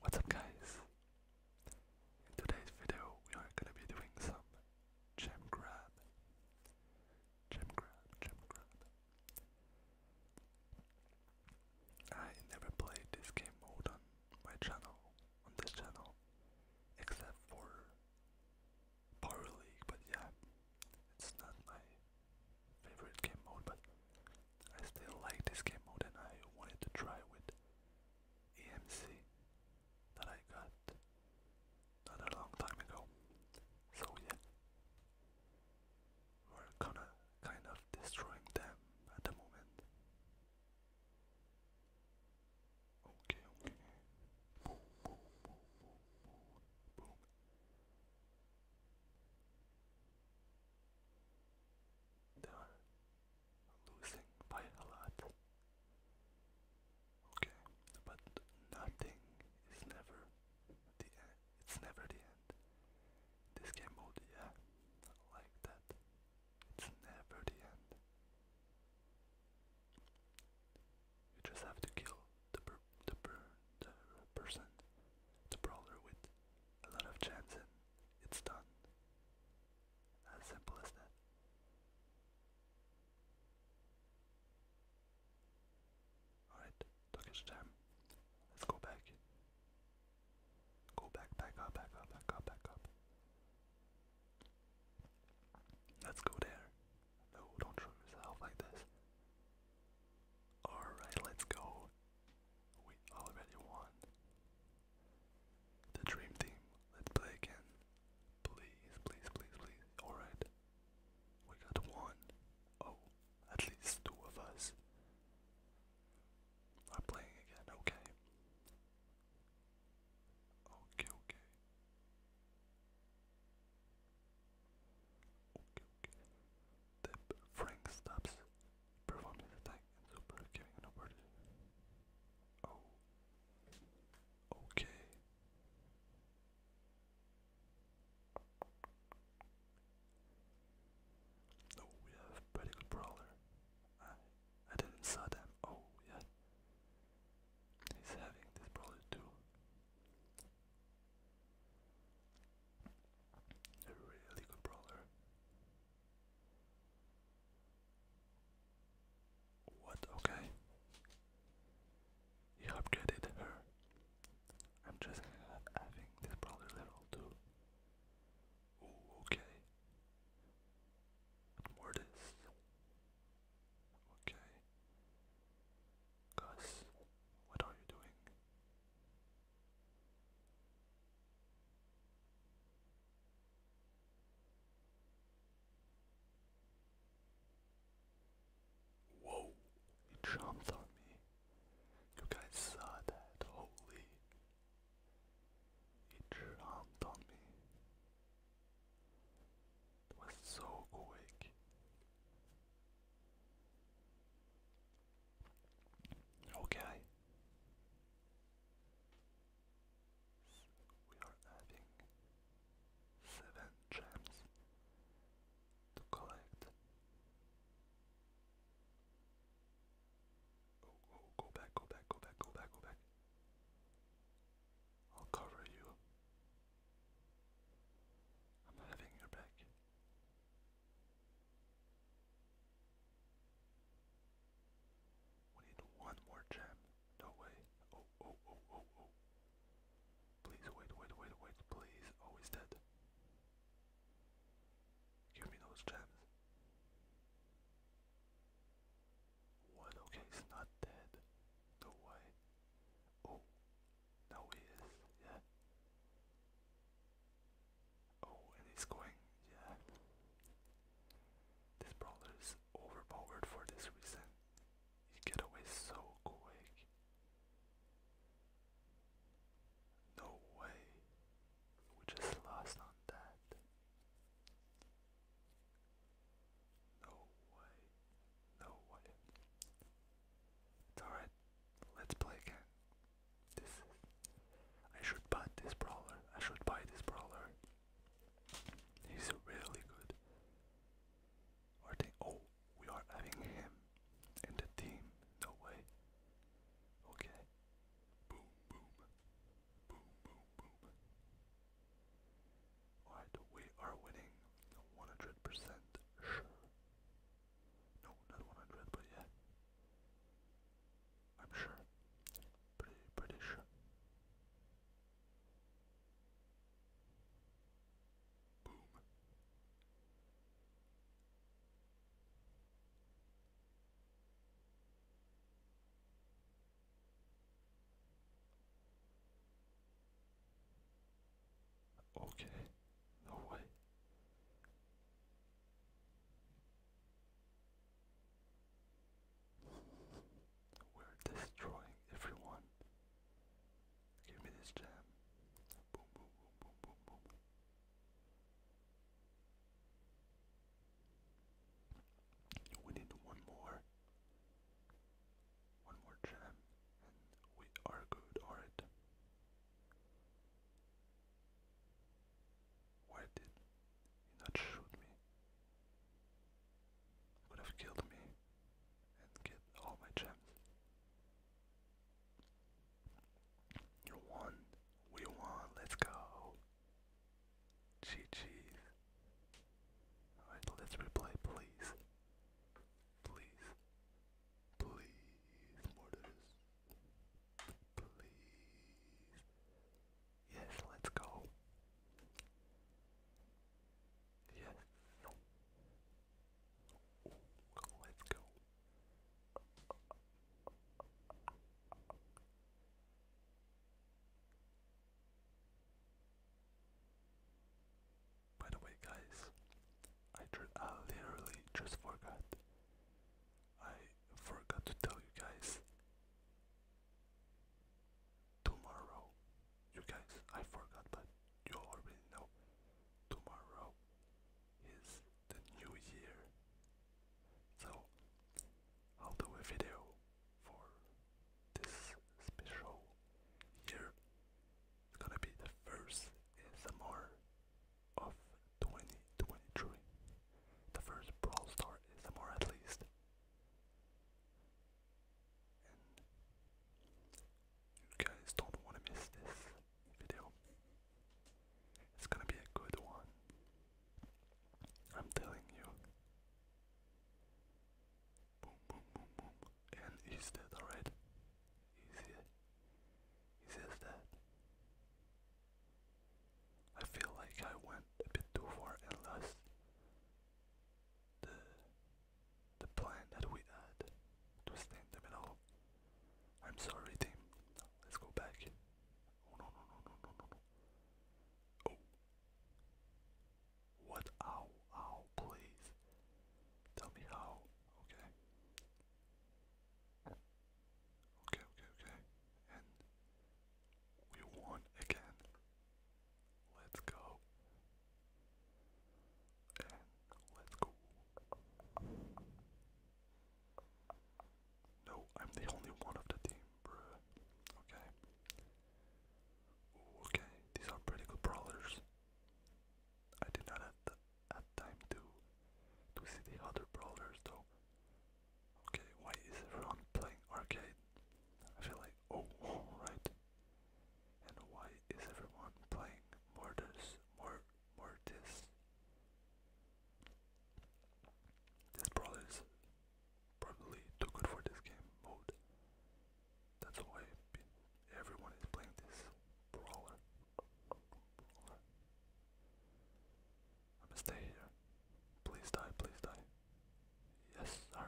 What's up guys? In today's video we are gonna be doing some gem grab. Gem grab, gem grab. I never played this game mode on my channel, on this channel, except for Power League, but yeah, it's not my favorite game mode, but I still like this game more than I wanted to try with EMC that I got not a long time ago. So yeah, we're gonna kind of destroying them at the moment. Okay, they're losing by a lot. Okay, but nothing is never the end. It's never the end. This game mode, yeah, like that. It's never the end. You just have to kill the the person, the brawler with a lot of chance and it's done. As simple as that. Alright, Turkish jam. Let's go back. Go back, back up, back up, back up, back up. Let's go there. No, don't show yourself like this. Alright, let's go. We already won. The dream team. Let's play again. Please, please, please, please. Alright. We got one. Oh, at least two of us are playing again. Okay. Okay, okay. Okay, The Frank stops performs attack and super giving an opportunity. Oh. Okay. Oh, we have pretty good brawler. I I didn't saw them. Oh yeah. He's having this brawler too. A really good brawler. What? Okay. He upgraded her. I'm just having this brawler level too. Ooh, okay. What Okay. Gus, what are you doing? Whoa, he jumped on me. You guys saw that, holy. He jumped on me. It was so quick. Okay. We are adding seven gems to collect. Oh, oh, go back, go back, go back, go back, go back. I'll cover you. I'm having your back. We need one more gem. No way. Oh, oh, oh, oh, oh. Please wait, wait, wait, wait, please. Oh, he's dead. Give me those gems. What? Okay, he's not dead. No way. Oh, now he is. Yeah. Oh, and he's going, yeah. This brawler is overpowered for this reason. You get so quick. No way. We just lost on that. No way. No way. It's alright. Let's play again. This I should buy this brawler. I should buy this brawler. He's really good. Are they? Oh, we are having him in the team. No way. Okay. Boom, boom, boom, boom, boom. Alright, we are winning 100% sure. No, not 100, but yeah. I'm sure. Pretty, pretty sure. Boom. Okay. We're destroying everyone. Give me this jam. boom, boom, boom, boom, boom. We need one more. One more jam, and we are good, alright. Why did you not shoot me? Could have killed me and get all my gems. You won. We won. Let's go. GG's. Alright, let's replay, please. Please. Please, Mortis. Please. Yes, let's go. Yes. No. Let's go. By the way, guys, I, I literally just forgot. I forgot to tell you guys. Tomorrow, you guys, I forgot, but you already know. Tomorrow is the new year. So, I'll do a video for this special year it's gonna be the first ASMR of 2023. The first Brawl Star ASMR at least. you guys don't want to miss this video. It's gonna be a good one. I'm telling you. Boom, boom, boom, boom. And he's dead, alright? Easy. Easy that. I feel like I went a bit too far and lost the the plan that we had to stay in the middle. I'm sorry team. Let's go back. Oh no no no no no no no. Oh what ow ow please tell me how Okay. Okay, okay, okay. we won again. Let's go. let's go. No, I'm the only one of the team, bruh. Okay. okay, these are pretty good brawlers. I did not have the had time to to see the other brawlers though. Okay, why is everyone playing arcade? I feel like oh right. And why is everyone playing Mortis Mor Mortis? This brawler is probably too good for this game mode. That's why everyone is playing this brawler. I'm going here. Please die, please die. Yes, sir.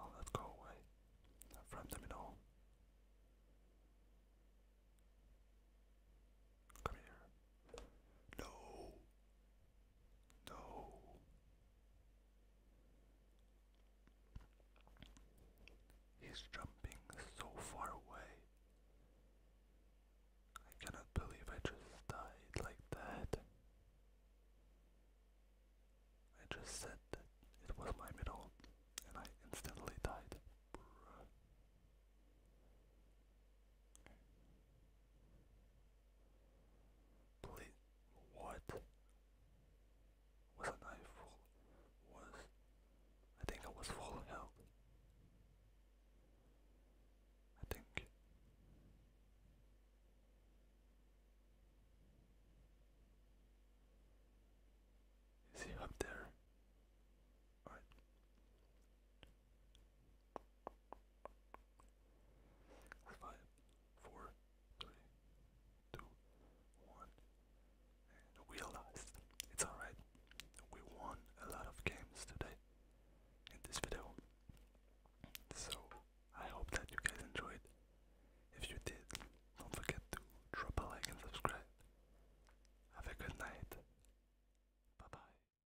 I'll let go away. From them in Come here. No. No. He's jumping so far away. I cannot believe I just died like that. I just said that it was my middle and I instantly died what? Wasn't I Was I think I was full health? I think. Is he up there? Five, four, three, two, one. And It's alright. We won a lot of games today in this video. So I hope that you guys enjoyed. If you did, don't forget to drop a like and subscribe. Have a good night. Bye bye.